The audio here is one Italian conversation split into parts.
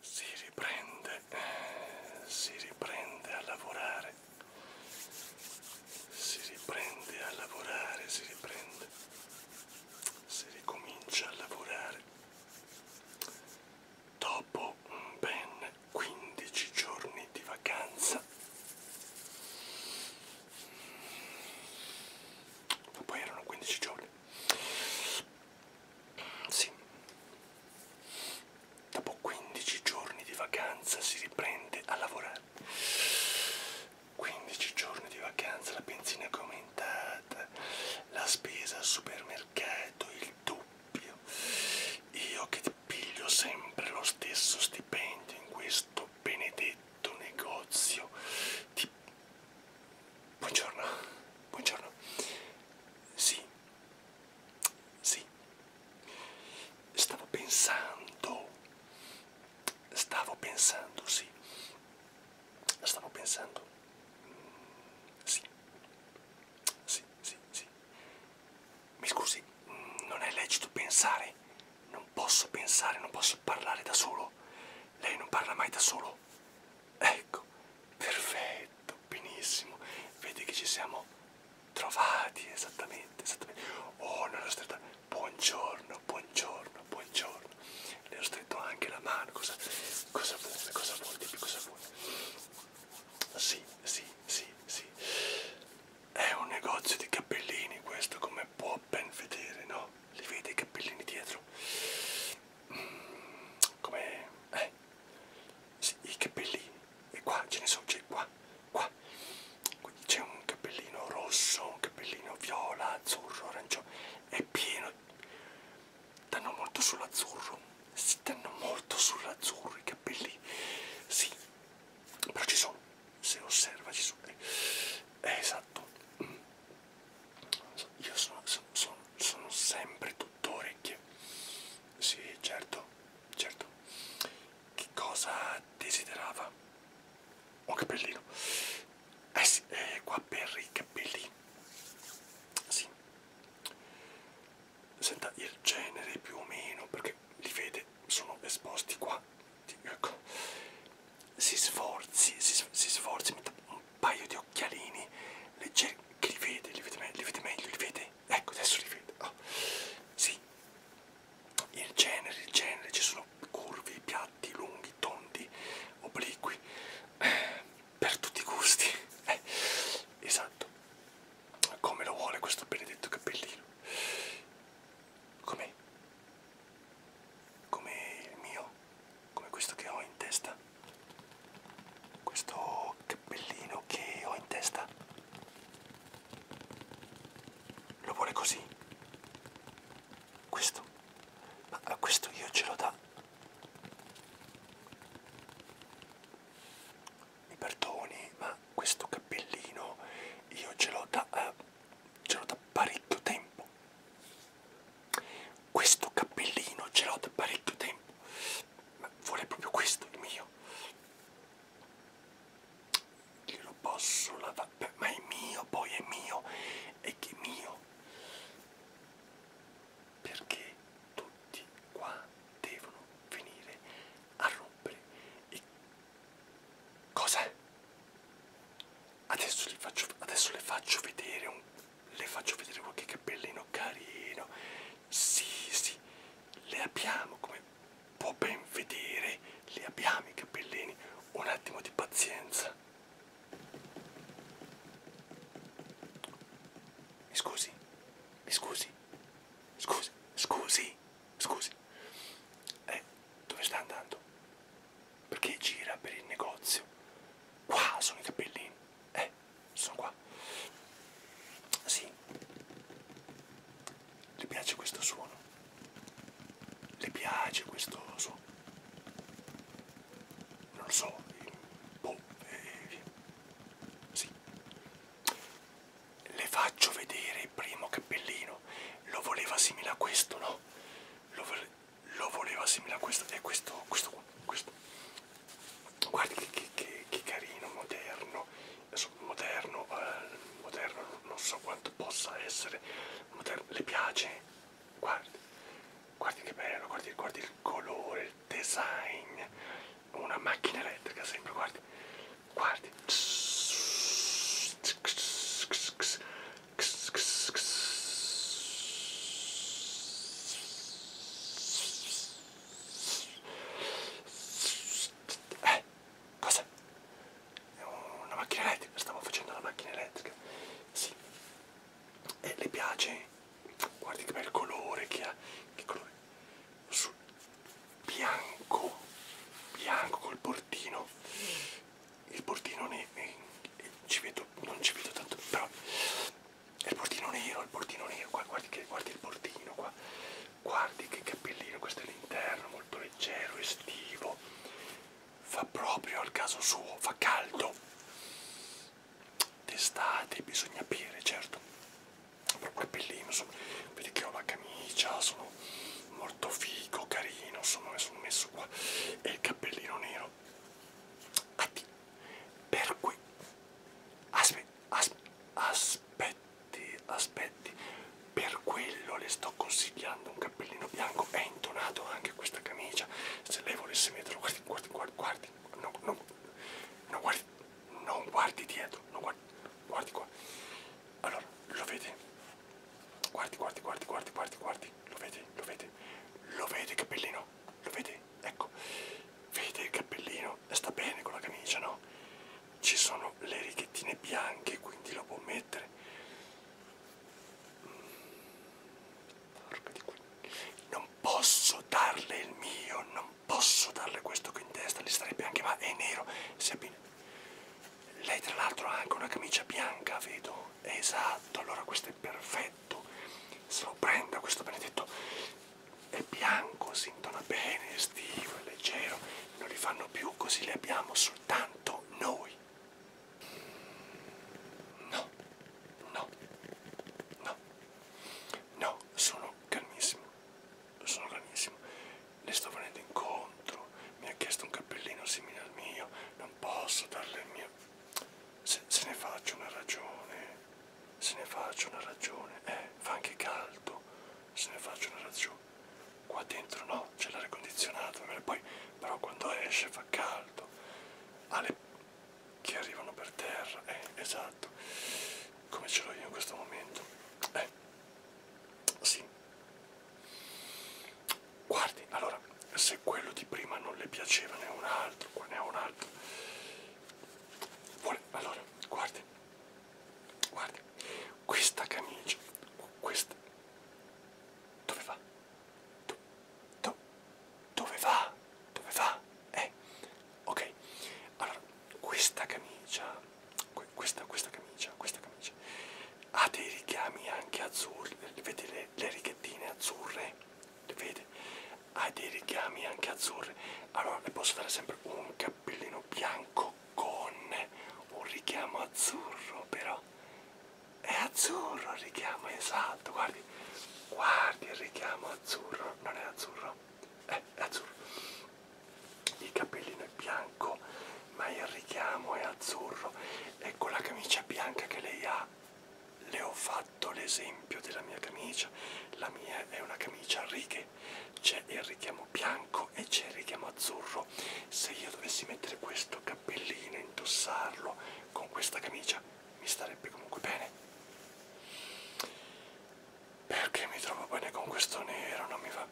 si riprende, si riprende a lavorare, si riprende a lavorare, si riprende, si ricomincia a lavorare dopo ben 15 giorni di vacanza. Ma poi erano 15 giorni. Sì. Dopo 15 giorni di vacanza si riprende a lavorare. 15 giorni di vacanza, la benzina è aumentata, la spesa al supermercato, il doppio. Io che piglio sempre lo stesso stipendio in questo benedetto negozio di Buongiorno, buongiorno. Sì, sì. Stavo pensando, stavo pensando, sì. Stavo pensando, mm, sì. Sì, sì, sì. Mi scusi, mm, non è lecito pensare. Non posso pensare, non posso parlare da solo. Lei non parla mai da solo. Ecco, perfetto, benissimo. Vedi che ci siamo trovati esattamente, esattamente. Oh, non ho stretto. Buongiorno, buongiorno, buongiorno. Le ho stretto anche la mano. Cosa, cosa vuole? Cosa vuole? Dimmi cosa vuole. Sì, sì, sì, sì. È un negozio di cappellini questo, come può ben vedere, no? Li vede i cappellini dietro? come eh, sì, i capelli e qua ce ne sono c'è cioè, qua qua quindi c'è un cappellino rosso un cappellino viola azzurro arancione è pieno danno molto sull'azzurro si danno molto sull'azzurro i capelli sì però ci sono se osserva ci sono eh, esatto io sono, sono, sono, sono sempre tutto orecchie. Sì, certo, certo. Che cosa desiderava? Un oh, cappellino. Eh sì, eh, qua per i capelli. Sì. Senta, il genere più o meno, perché li vede, sono esposti qua. Ecco. Si sforzi, si, si sforzi, metta un paio di occhialini leggeri che li vede, li vede, li vede meglio, li vede? Ecco, adesso li vede. Oh. Sì, il genere, il genere, ci sono curvi, piatti, lunghi, tondi, obliqui, eh, per tutti i gusti. Eh, esatto, come lo vuole questo benedetto cappellino. Com'è? Come il mio? come questo che ho in testa questo cappellino che ho in testa lo vuole così questo ma a questo io ce lo da mi perdoni ma questo cappellino io ce l'ho da eh, ce l'ho da parecchio tempo questo cappellino ce l'ho da parecchio tempo, ma vuole proprio questo il mio. Glielo posso lavare, ma è mio, poi è mio, è che è mio. Perché tutti qua devono venire a rompere i... Cosa? Adesso, li faccio, adesso le faccio vedere un le faccio vedere qualche cappellino carino. Sì, sì, le abbiamo, come può ben vedere, le abbiamo i cappellini. Un attimo di pazienza. Mi scusi, mi scusi, scusi, scusi, scusi. Eh, dove sta andando? perché gira per il negozio. Qua sono i capellini. Eh, sono qua. Sì. Le piace questo suono? Le piace questo suono? Non lo so. Boh. Eh, sì. Le faccio vedere il primo cappellino. Lo voleva simile a questo, no? Lo voleva lo volevo assimilare a questo e questo, questo, questo. Guardi che, che, che, che carino, moderno, moderno, eh, moderno non so quanto possa essere, moderno, le piace? Guardi, guardi che bello, guardi, guardi il colore, il design, una macchina elettrica sempre, guardi, guardi. Eh, cosa? È una macchina elettrica, stavo facendo la macchina elettrica. Sì. E le piace? Guardi che bel colore che ha. Che colore? Sul bianco, bianco col portino. Il portino ne, ne ci vedo, non ci vedo tanto, però è il bordino nero, il bordino nero, qua guardi, che, guardi il bordino qua, guardi che cappellino, questo è l'interno, molto leggero, estivo, fa proprio al caso suo, fa caldo, d'estate bisogna aprire, certo, proprio cappellino, insomma, vedi che ho la camicia, sono molto figo, carino, insomma, mi sono messo qua, e il cappellino nero, Atti per cui aspetti, asp, aspetti, aspetti, per quello le sto consigliando un cappellino bianco, è intonato anche questa camicia, se lei volesse metterlo, guardi, guardi, guardi, guardi, no, no, no guardi, non guardi dietro, non guardi, guardi qua, allora, lo vede, guardi, guardi, guardi, guardi, guardi, guardi, lo vede, lo vede, lo vede cappellino, lo vedi? Ecco, vedi il cappellino, sta bene con la camicia, no? Ci sono le righettine bianche, quindi lo può mettere. Mm. Non posso darle il mio, non posso darle questo qui in testa, gli starebbe anche, ma è nero, si abbina. Lei tra l'altro ha anche una camicia bianca, vedo. Esatto, allora questo è perfetto benedetto, se lo prenda questo benedetto, è bianco, si intona bene, è estivo, è leggero, non li fanno più, così li abbiamo soltanto noi. No, no, no, no, sono calmissimo, sono calmissimo, le sto venendo incontro, mi ha chiesto un cappellino simile al mio, non posso darle il mio se, se ne faccio una ragione, se ne faccio una ragione, eh, fa anche caldo, se ne faccio una ragione. Qua dentro no, c'è l'aria condizionata, poi però quando esce fa caldo, ha le che arrivano per terra, eh, esatto, come ce l'ho io in questo momento. Eh, sì guardi allora se quello di prima non le piaceva ne ho un altro qua ne ho un altro Vuole, allora guardi guardi questa camicia questa dove va do, do, dove va dove va eh ok allora questa camicia questa questa camicia questa camicia ha dei richiami anche azzurri vedi le, le righettine azzurre vede, ha dei richiami anche azzurri, allora le posso dare sempre un cappellino bianco con un richiamo azzurro però, è azzurro il richiamo, esatto, guardi, guardi il richiamo azzurro, non è azzurro, eh, è azzurro, il cappellino è bianco ma il richiamo è azzurro e con la camicia bianca che lei ha le ho fatto l'esempio della mia camicia, la mia è una camicia a righe, c'è il richiamo bianco e c'è il richiamo azzurro, se io dovessi mettere questo cappellino e indossarlo con questa camicia mi starebbe comunque bene. Perché mi trovo bene con questo nero, non mi va.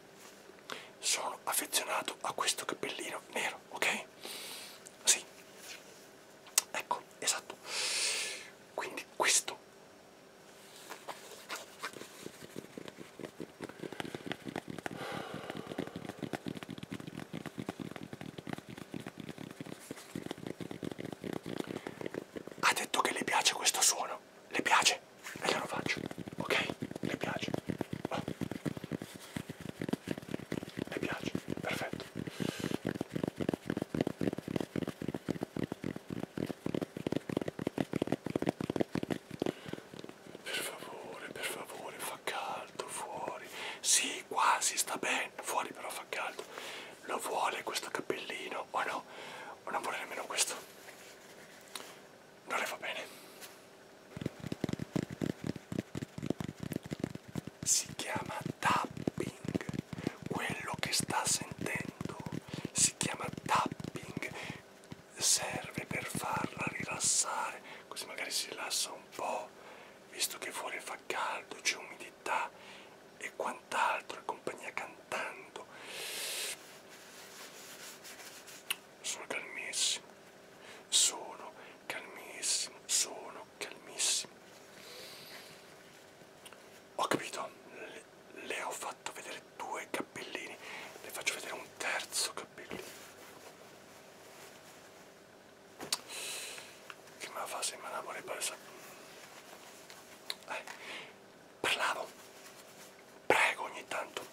Sono affezionato a questo cappellino nero, ok? Sì. Ecco, esatto. Quindi questo ha detto che le piace questo suono, le piace e glielo faccio, ok? Le piace. Oh. Mi piace, perfetto. Per favore, per favore, fa caldo fuori. Sì, quasi sta bene, fuori però fa caldo. Lo vuole questo cappellino o no? O non vuole nemmeno questo? Non le va bene si chiama tapping, quello che sta sentendo si chiama tapping, serve per farla rilassare, così magari si rilassa un po', visto che fuori fa caldo, c'è umidità e quant'altro, e compagnia cantando. Sono calmissimo, sono calmissimo, sono calmissimo. Ho capito, le, le ho fatto vedere due cappellini, le faccio vedere un terzo cappellino. Che me la fa se me la vuole presa? Eh, parlavo, prego ogni tanto,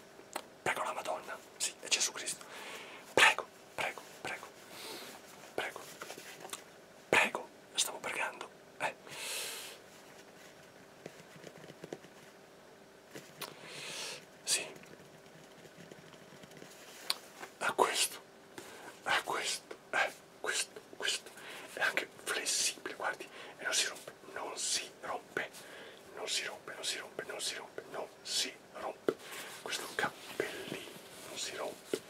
prego la Madonna, sì, è Gesù Cristo, prego, prego, prego, prego, prego, stavo pregando. Eh. Sì, a questo, a questo, eh, questo, questo, è anche flessibile, guardi, e non si rompe, non si rompe, non si rompe, non si rompe, non si rompe, non si rompe questo cappellino non si rompe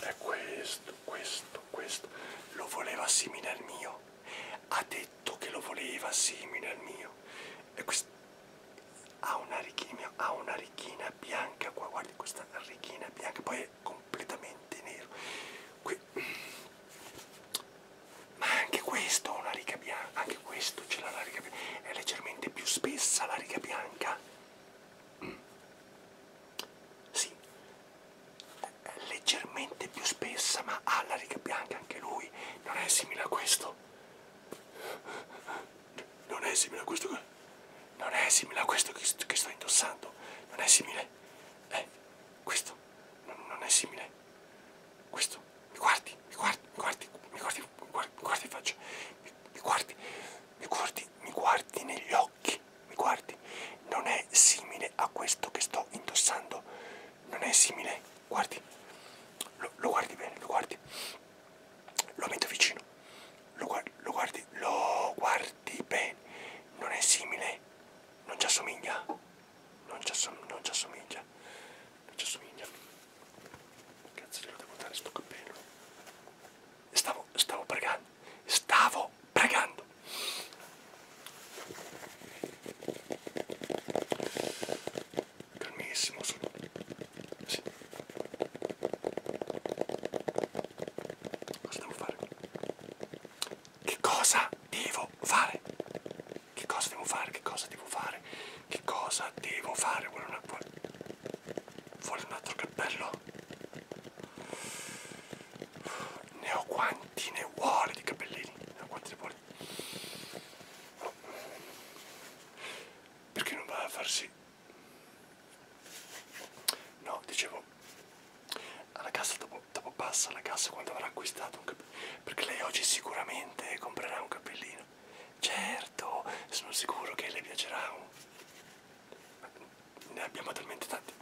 è questo questo questo lo voleva simile al mio ha detto che lo voleva simile al mio e questo ha una righina ha una righina bianca qua guardi questa righina bianca poi è completamente nero qui ma anche questo ha una riga bianca anche questo ce l'ha la riga bianca è leggermente più spessa la riga bianca sì, leggermente più spessa, ma ha la riga bianca anche lui. Non è simile a questo. Non è simile a questo che. Non è simile a questo che sto, che sto indossando. Non è simile. Eh, questo. Non, non è simile. Questo. Mi guardi, mi guardi, mi guardi, mi guardi, mi guardi, mi guardi in faccia. Mi, mi guardi, mi guardi, mi guardi negli occhi, mi guardi, non è simile a questo che sto indossando, non è simile, guardi, lo, lo guardi bene, lo guardi, lo metto vicino, lo guardi, lo guardi, lo guardi bene, non è simile, non ci assomiglia, non ci assomiglia, non ci assomiglia. Non ci assomiglia. Cazzo glielo devo dare sto cappello. Stavo, stavo pregando. Stavo pregando. Calmissimo, sono... Sì. Cosa devo fare? Che cosa devo fare? Che cosa devo fare? Che cosa devo fare? Che cosa devo fare? Vuole un acqua? vuole un altro cappello? Ne ho quanti ne vuole di cappellini, ne ho quanti ne vuole. Perché non va a farsi? No, dicevo, alla cassa dopo, dopo passa alla cassa quando avrà acquistato un cappellino, perché lei oggi sicuramente comprerà un cappellino. Certo certo, sono sicuro che le piacerà. Ne abbiamo talmente tanti.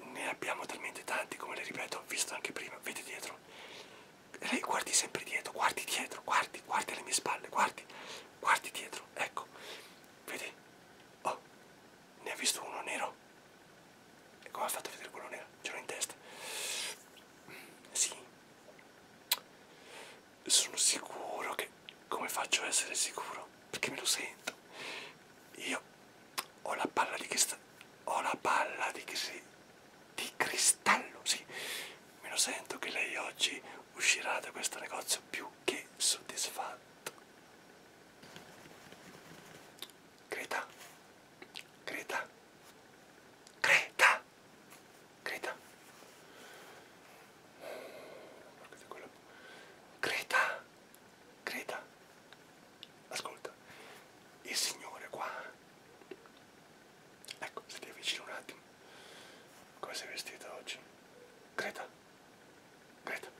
Ne abbiamo talmente tanti, come le ripeto, ho visto anche prima, vedi dietro. E lei guardi sempre dietro, guardi dietro, guardi, guardi alle mie spalle, guardi, guardi dietro, ecco. Vedi? Oh, ne ha visto uno nero. E come ha fatto a vedere quello nero? Ce l'ho in testa. Mm, sì sono sicuro che come faccio a essere sicuro? Perché me lo sento. Io ho la palla di cristallo. Ho la palla di, cri di cristallo, sì. Me lo sento che lei oggi uscirà da questo negozio più che soddisfatto. Greta, Greta, Greta, Greta. Greta. Greta. Ascolta. Il signore qua. Ecco, se ti avvicino un attimo. Come sei vestita oggi? Greta. Greta.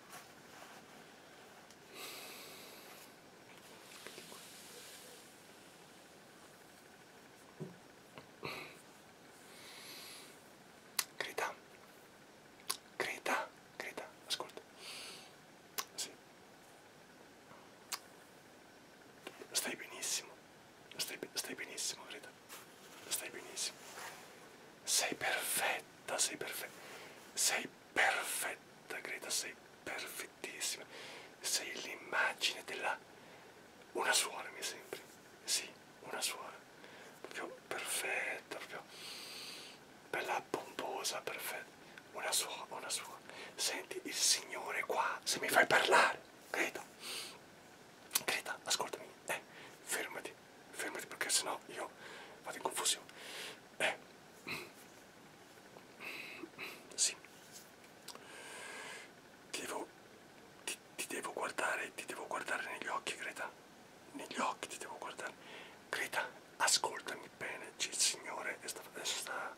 Grida, grida, grida, ascolta. Sì. Stai benissimo, stai, stai benissimo, grida. Stai benissimo. Sei perfetta, sei perfetta. Sei perfetta, grida, sei perfettissima. Sei l'immagine della una suora mi sembra, sì, una suora, proprio perfetta, proprio bella pomposa, perfetta, una suora, una suora. Senti il Signore qua, se mi fai parlare, Greta, Greta, ascoltami, eh, fermati, fermati perché sennò io vado in confusione. Eh, sì, ti devo, ti, ti devo guardare, ti devo guardare negli occhi, Greta. Negli occhi ti devo guardare. Greta, ascoltami bene, c'è il Signore e sta, adesso eh, sta...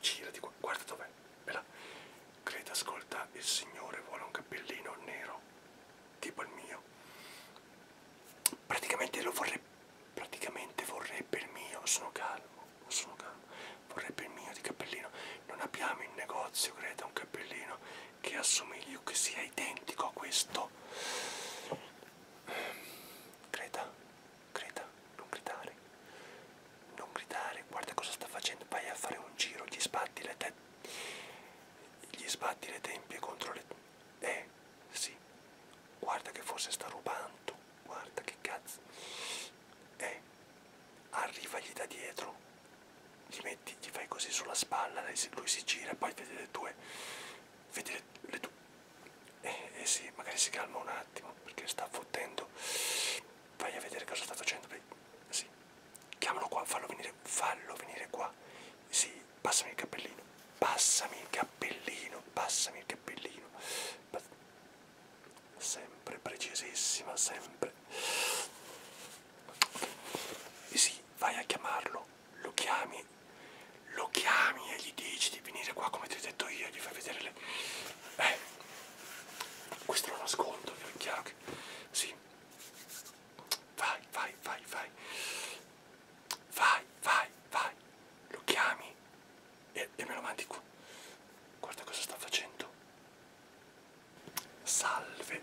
Girati, guarda dov'è. Bella. Greta, ascolta, il Signore vuole un cappellino nero, tipo il mio. Praticamente lo vorrebbe, praticamente vorrebbe il mio, sono calmo, sono calmo vorrebbe il mio di cappellino. Non abbiamo in negozio, credo, un cappellino che assomigli o che sia identico a questo. Greta, Greta, non gridare. Non gridare, guarda cosa sta facendo. Vai a fare un giro, gli sbatti le tette. Gli sbatti le tempie contro le... Eh, sì. Guarda che forse sta rubando. Guarda che cazzo. Eh, arrivagli da dietro gli metti, gli fai così sulla spalla, lui si gira, poi vedi le tue, vedi le, le tue, e, eh, e eh sì, magari si calma un attimo perché sta fottendo, vai a vedere cosa sta facendo, sì, chiamalo qua, fallo venire, fallo venire qua, sì, passami il cappellino, passami il cappellino, passami il cappellino, sempre precisissima, sempre. Okay. E sì, vai a chiamarlo, lo chiami, lo chiami e gli dici di venire qua come ti ho detto io, gli fai vedere le... Eh, questo lo nascondo, è chiaro che... Sì. Vai, vai, vai, vai. Vai, vai, vai. Lo chiami e, e me lo mandi qua. Guarda cosa sta facendo. Salve.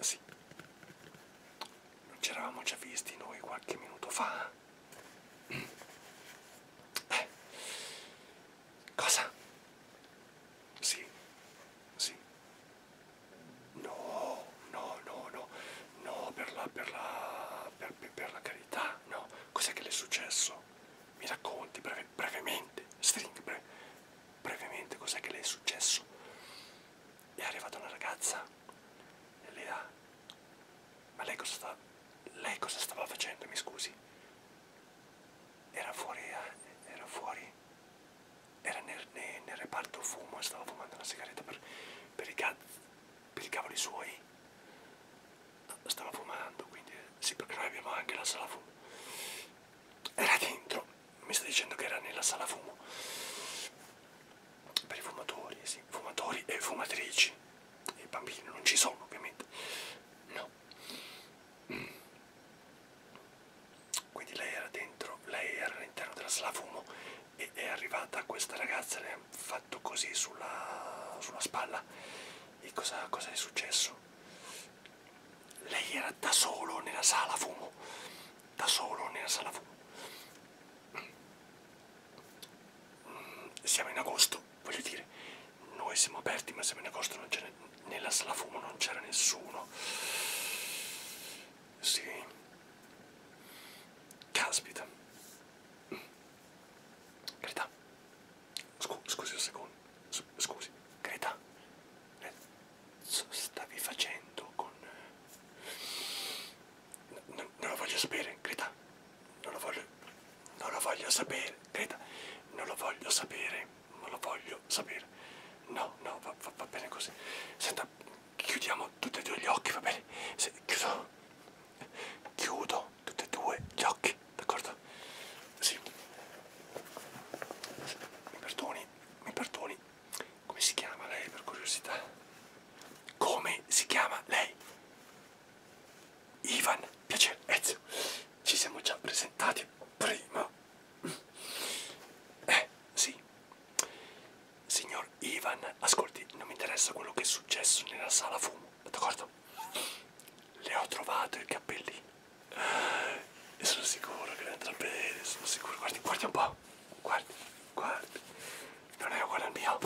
Sì. Non ci eravamo già visti noi qualche minuto fa? Eh. Cosa? Sì. Sì. No, no, no, no. No, per la per la per, per, per la carità, no. Cos'è che le è successo? mi racconti breve, brevemente, string bre, brevemente cos'è che le è successo. È arrivata una ragazza e lei ha... Ma lei cosa, sta, lei cosa stava facendo, mi scusi? Era fuori, eh, era fuori, era nel, nel, nel reparto fumo e stava fumando una sigaretta per, per, i, per i cavoli suoi stava fumando, quindi eh, sì, perché noi abbiamo anche la sala fumo. Era dentro, mi sta dicendo che era nella sala fumo. Per i fumatori, sì, fumatori e fumatrici. I bambini non ci sono, ovviamente. No. Mm. Quindi lei era dentro, lei era all'interno della sala fumo e è arrivata questa ragazza, le ha fatto così sulla, sulla spalla. E cosa, cosa è successo? lei era da solo nella sala fumo, da solo nella sala fumo. Siamo in agosto, voglio dire, noi siamo aperti ma siamo in agosto, non nella sala fumo non c'era nessuno. Sì, caspita, carità, Scu scusi un secondo, S scusi, Greta, stavi facendo con... N non lo voglio sapere, Greta, non lo voglio, non lo voglio sapere, Greta, non lo voglio sapere, non lo voglio sapere, no, no, va, va, va bene così, senta, chiudiamo tutti e due gli occhi, va bene, Se, chiudo, chiudo, sono tutti e due gli occhi, d'accordo? Sì. Mi perdoni, mi perdoni. Come si chiama lei per curiosità? Come si chiama lei? Ivan, piacere, Ezio. Ci siamo già presentati prima. Eh, sì. Signor Ivan, ascolti, non mi interessa quello che è successo nella sala fumo, d'accordo? Le ho trovato i capelli e sono sicuro che andrà bene, sono sicuro. Guardi, guardi un po'. Guardi, guardi. Non è uguale al mio.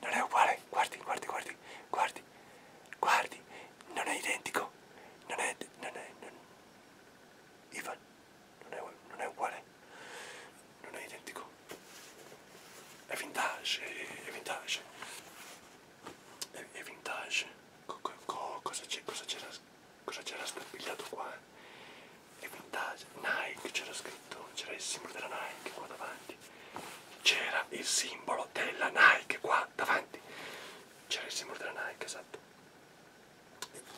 Non è uguale. Guardi, guardi, guardi. Guardi. Guardi. Non è identico. Non è... Non è... Non... Ivan. Non è, non è uguale. Non è identico. È vintage. È vintage. È vintage. Co co cosa c'era scappigliato qua? Eh? È vintage, Nike c'era scritto, c'era il simbolo della Nike qua davanti, c'era il simbolo della Nike qua davanti, c'era il simbolo della Nike, esatto.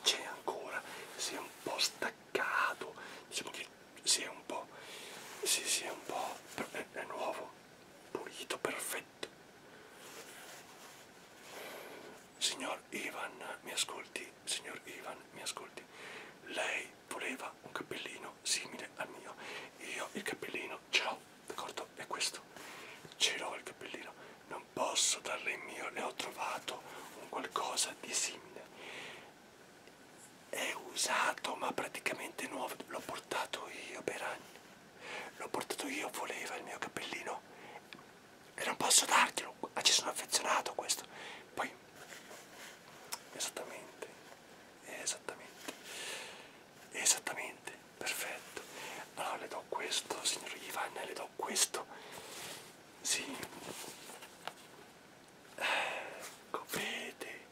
C'è ancora, si è un po' staccato, diciamo che si è un po', si, si è un po', è, è nuovo, pulito, perfetto Signor Ivan, mi ascolti, signor Ivan, mi ascolti. Lei voleva un cappellino simile al mio. Io il cappellino ce l'ho, d'accordo? È questo. Ce l'ho il cappellino. Non posso darle il mio, ne ho trovato un qualcosa di simile. È usato ma praticamente nuovo, l'ho portato io per anni. L'ho portato io, voleva il mio cappellino e non posso darglielo, ah, ci sono affezionato a questo. Poi, esattamente, esattamente, esattamente, perfetto. Allora le do questo, signor Ivan, le do questo. Sì, ecco, eh, vede,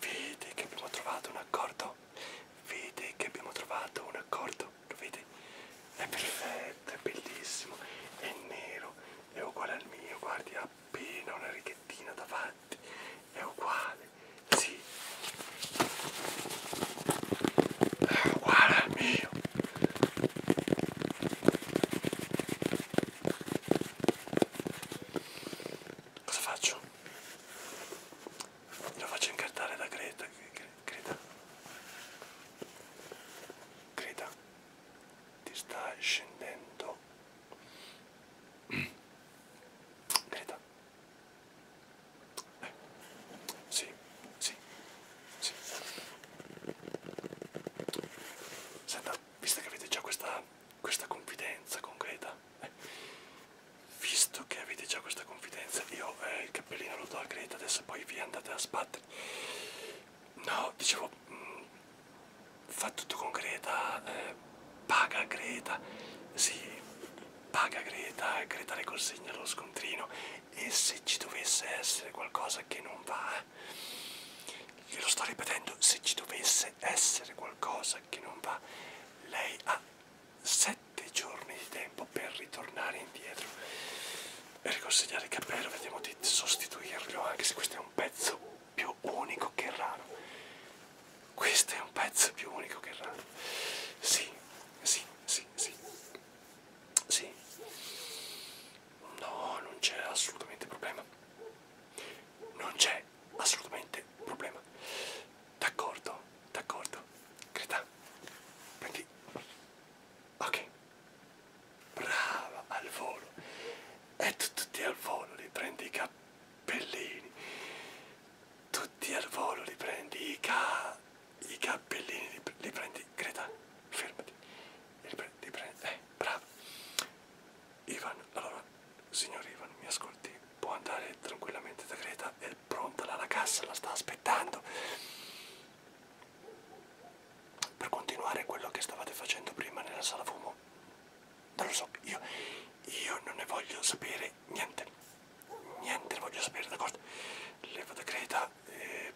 Vedi che abbiamo trovato un accordo? Vedi che abbiamo trovato un accordo? Lo vedi? È perfetto, è bellissimo, è nero, è uguale al mio, guardi, ha appena una righettina davanti, è uguale, sì, è uguale al mio. Cosa faccio? lo faccio incartare da Greta Greta Greta ti sta scendendo Greta eh. sì sì sì senta visto che avete già questa questa confidenza con Greta visto che avete già questa confidenza io eh, il cappellino lo do a Greta adesso poi vi andate a sbattere no dicevo mh, mm, fa tutto con Greta eh, paga Greta sì paga Greta Greta le consegna lo scontrino e se ci dovesse essere qualcosa che non va glielo sto ripetendo se ci dovesse essere qualcosa che non va lei ha sette giorni di tempo per ritornare indietro e riconsegnare il cappello, vediamo di sostituirlo, anche se questo è un pezzo più unico che raro. Questo è un pezzo più unico che raro. Sì, sì, sì, sì. Sì. No, non c'è assolutamente problema. Non c'è è assolutamente un problema. D'accordo, d'accordo. Greta, prendi. Ok. Brava, al volo. E tu, tutti al volo li prendi i cappellini. Tutti al volo li prendi i ca... i cappellini li, li prendi. Greta, fermati. Li prendi, li prendi. Eh, brava. Ivan, allora signor Ivan, mi ascolti, può andare tranquillamente da Greta, è pronta la cassa, la sta aspettando. Per continuare quello che stavate facendo prima nella sala fumo, non lo so, io, io non ne voglio sapere niente, niente ne voglio sapere, d'accordo? Leva da Greta, eh,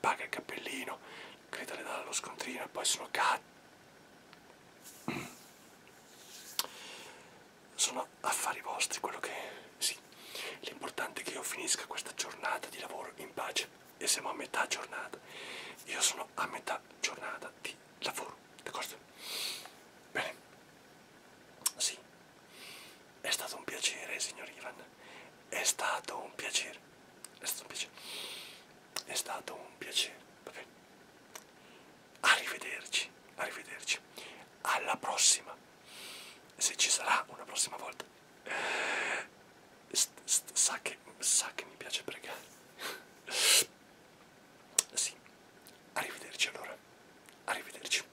paga il cappellino, Greta le dà lo scontrino e poi sono cazzo sono affari vostri quello che sì l'importante è che io finisca questa giornata di lavoro in pace e siamo a metà giornata io sono a metà giornata di lavoro d'accordo bene sì è stato un piacere signor Ivan è stato un piacere è stato un piacere è stato un piacere va bene Arrivederci, arrivederci. Alla prossima. Se ci sarà una prossima volta. S -s sa, che, sa che mi piace pregare. Sì. Arrivederci allora. Arrivederci.